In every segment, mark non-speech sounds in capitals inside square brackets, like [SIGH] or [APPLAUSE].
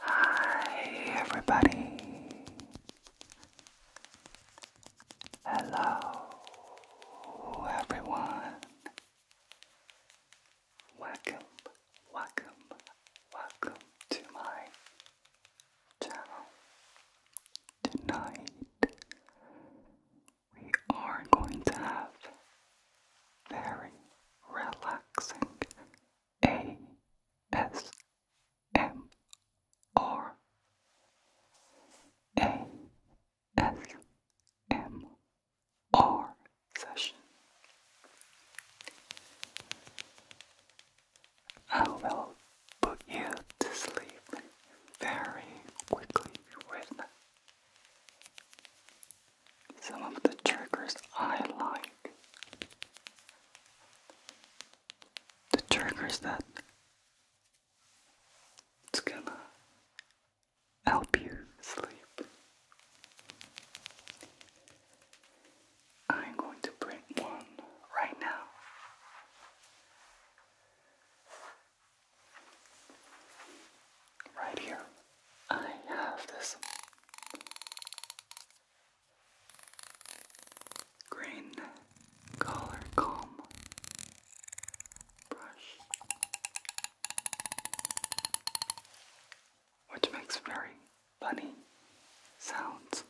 Hi, everybody. Hello, everyone. Welcome, welcome, welcome to my channel. Tonight, we are going to have very relaxing ASMR. session. I will put you to sleep very quickly with some of the triggers I like. The triggers that it's gonna help you sleep. I'm going to bring one right now. Right here. I have this green color comb brush, which makes very funny sounds.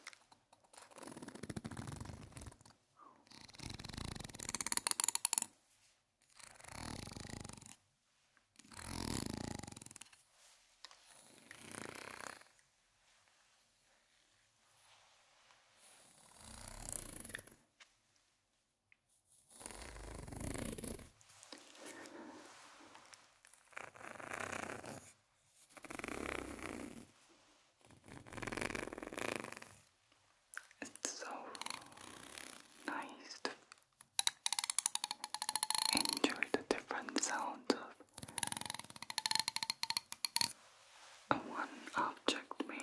It's so nice to Enjoy the different sounds of one object makes.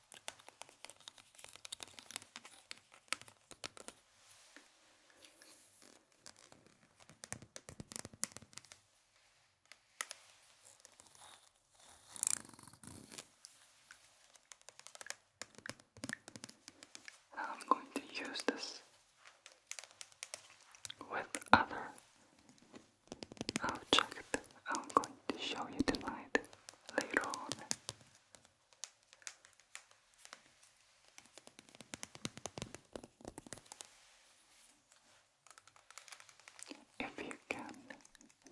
I'm going to use this with other object uh, I'm going to show you tonight later on. If you can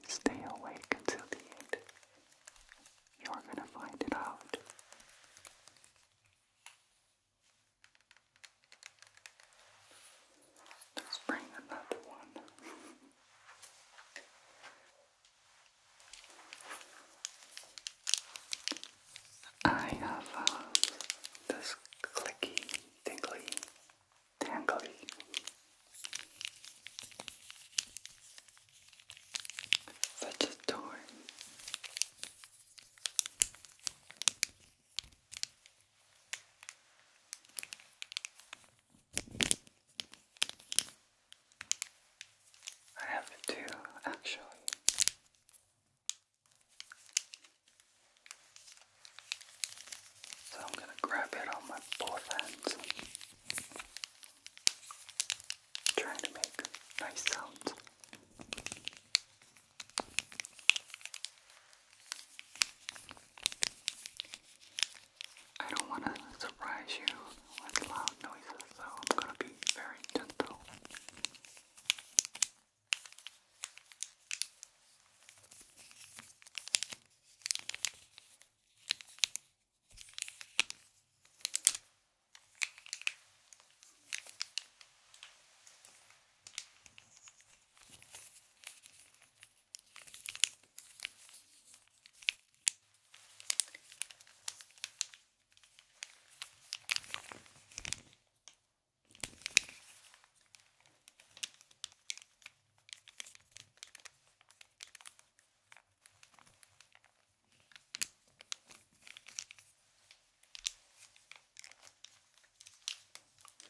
stay awake until the end, you're gonna find it out. let bring another one. [LAUGHS] I have uh, this clicky, tingly, tangly. Such a door. I have two actually. So I'm gonna grab it on my both hands. Trying to make nice sounds. I don't want to surprise you with loud noises, so I'm going to be very gentle.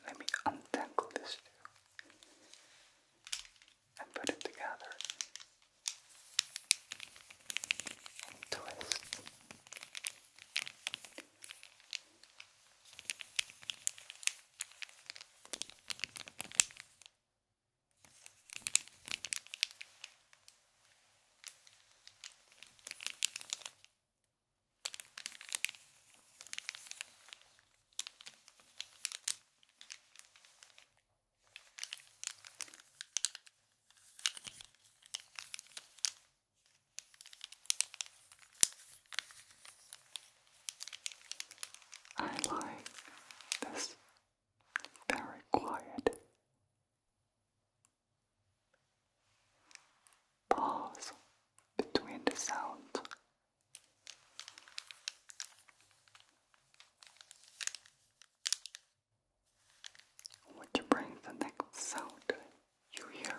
Let me untangle this too and put it together and twist. I like this very quiet pause between the sound which brings the next sound you hear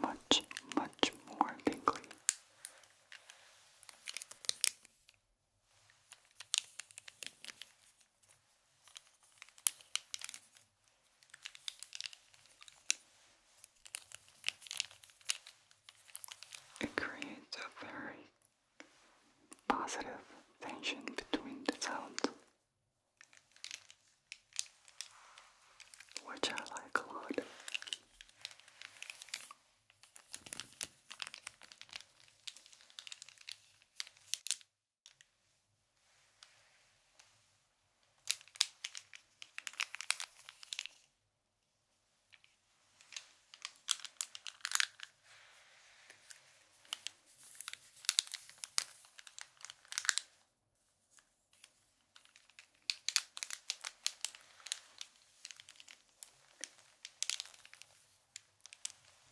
much, much more thickly. It creates a very positive tension between the sounds, which I like a lot.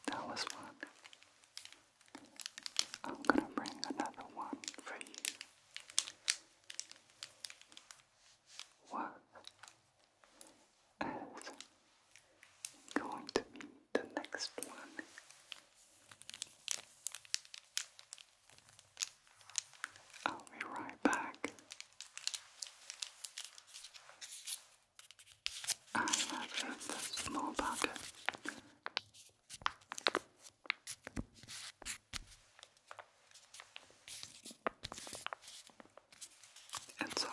That was fun. I'm gonna bring another one for you. What as going to be the next one. I'll be right back. I'm the small bucket. It's a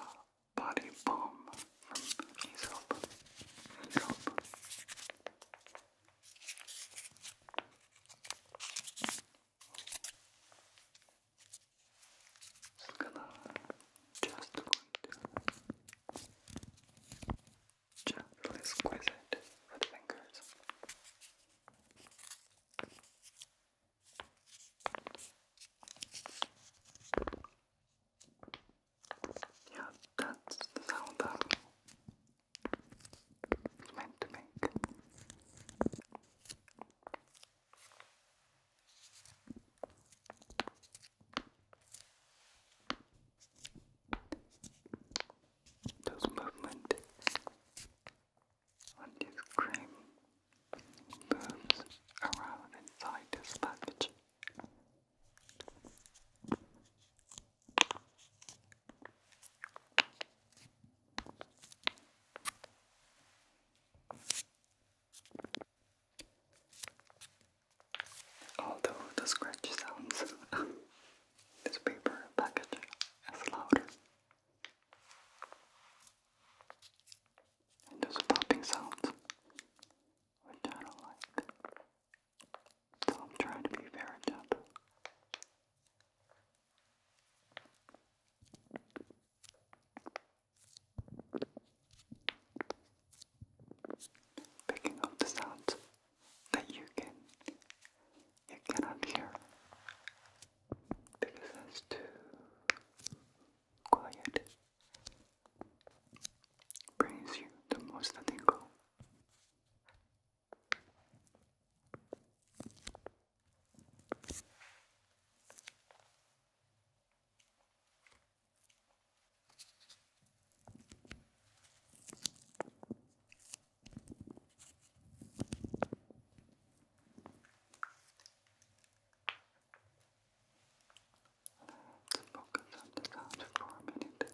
body balm from Aesop. Aesop. gonna just going to gently squeeze it with fingers. Yeah, that's the sound that it's meant to make. Those movement on his creamy boobs around inside his package. Although the scratchy sounds, [LAUGHS] this paper package is louder. And there's a popping sound, which I like. So I'm trying to be very gentle. Picking up the sounds that you can you cannot hear because that's too quiet brings you the most tingle to focus on the sound for a minute.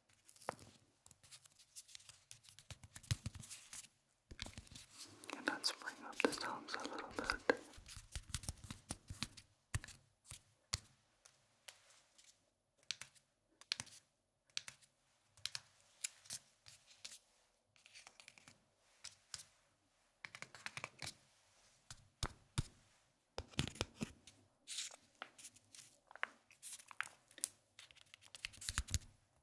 And let's bring up the sounds a little bit.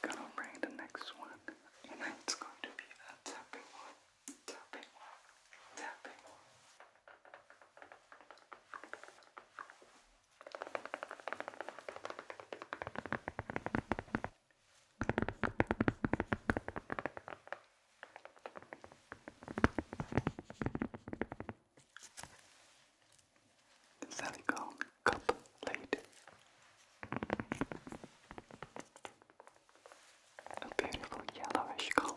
Gonna bring the next one, and it's going to be a tapping one, tapping one, tapping one. Silicone cup lid, a beautiful yellowish color.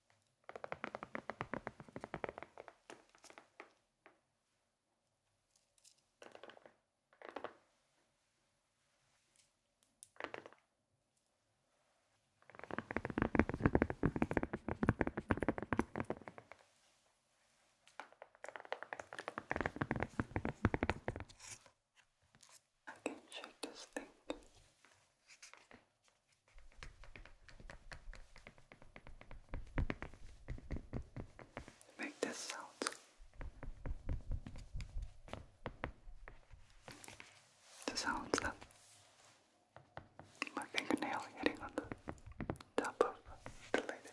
I can shake this thing. Make this sound. The sound of my fingernail hitting on the top of the lid.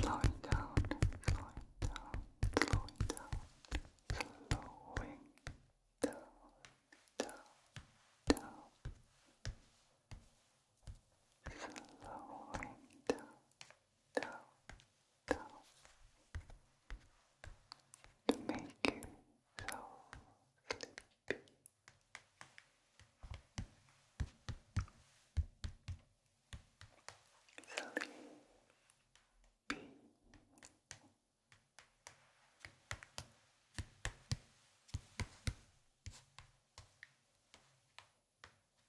Slow it down, slow it down, slow it down, slowing down, down, down, slowing down down, to make you so Sleepy. Sleepy.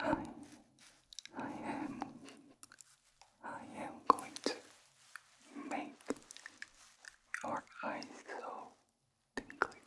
I am, I am, I am going to make your eyes so tingly, so tingly.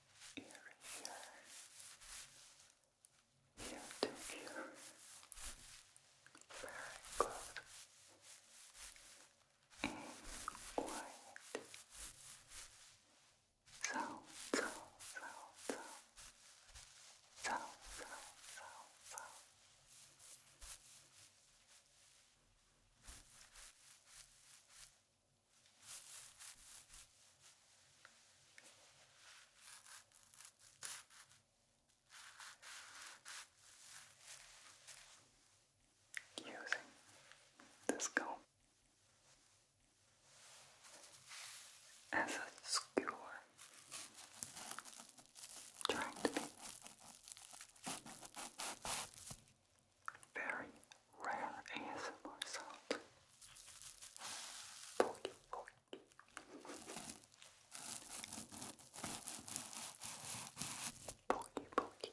ear here. Ear to ear. Very good. And quiet. sound, sound, sound. Sound, sound, sound, sound. Using this comb as a skewer, trying to be very rare ASMR sound. Porky, porky. Porky, porky.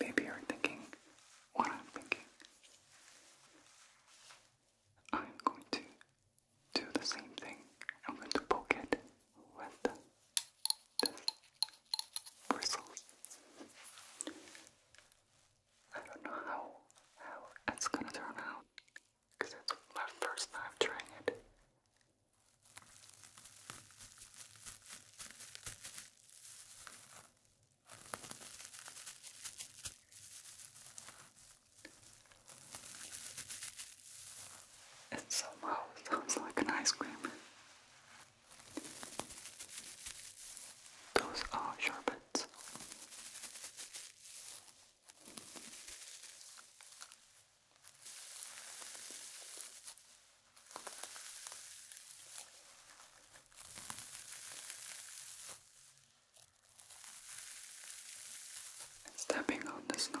Maybe you're thinking what I'm thinking. I'm going to do the same thing. I'm going to poke it with this bristles. I don't know how how it's gonna turn out because it's my first time trying it. It somehow sounds like an ice cream. Those are sharpens. And stepping on the snow.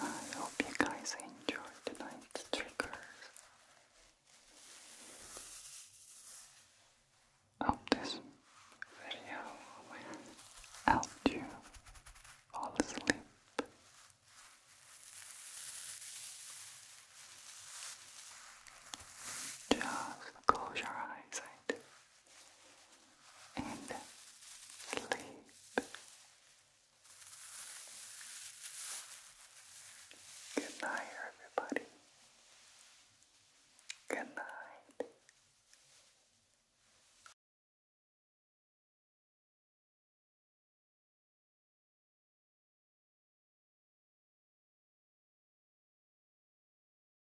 I hope you guys enjoyed tonight's triggers. I hope this video will help you fall asleep. Just close your eyes. I and sleep. Good night, everybody. Good night.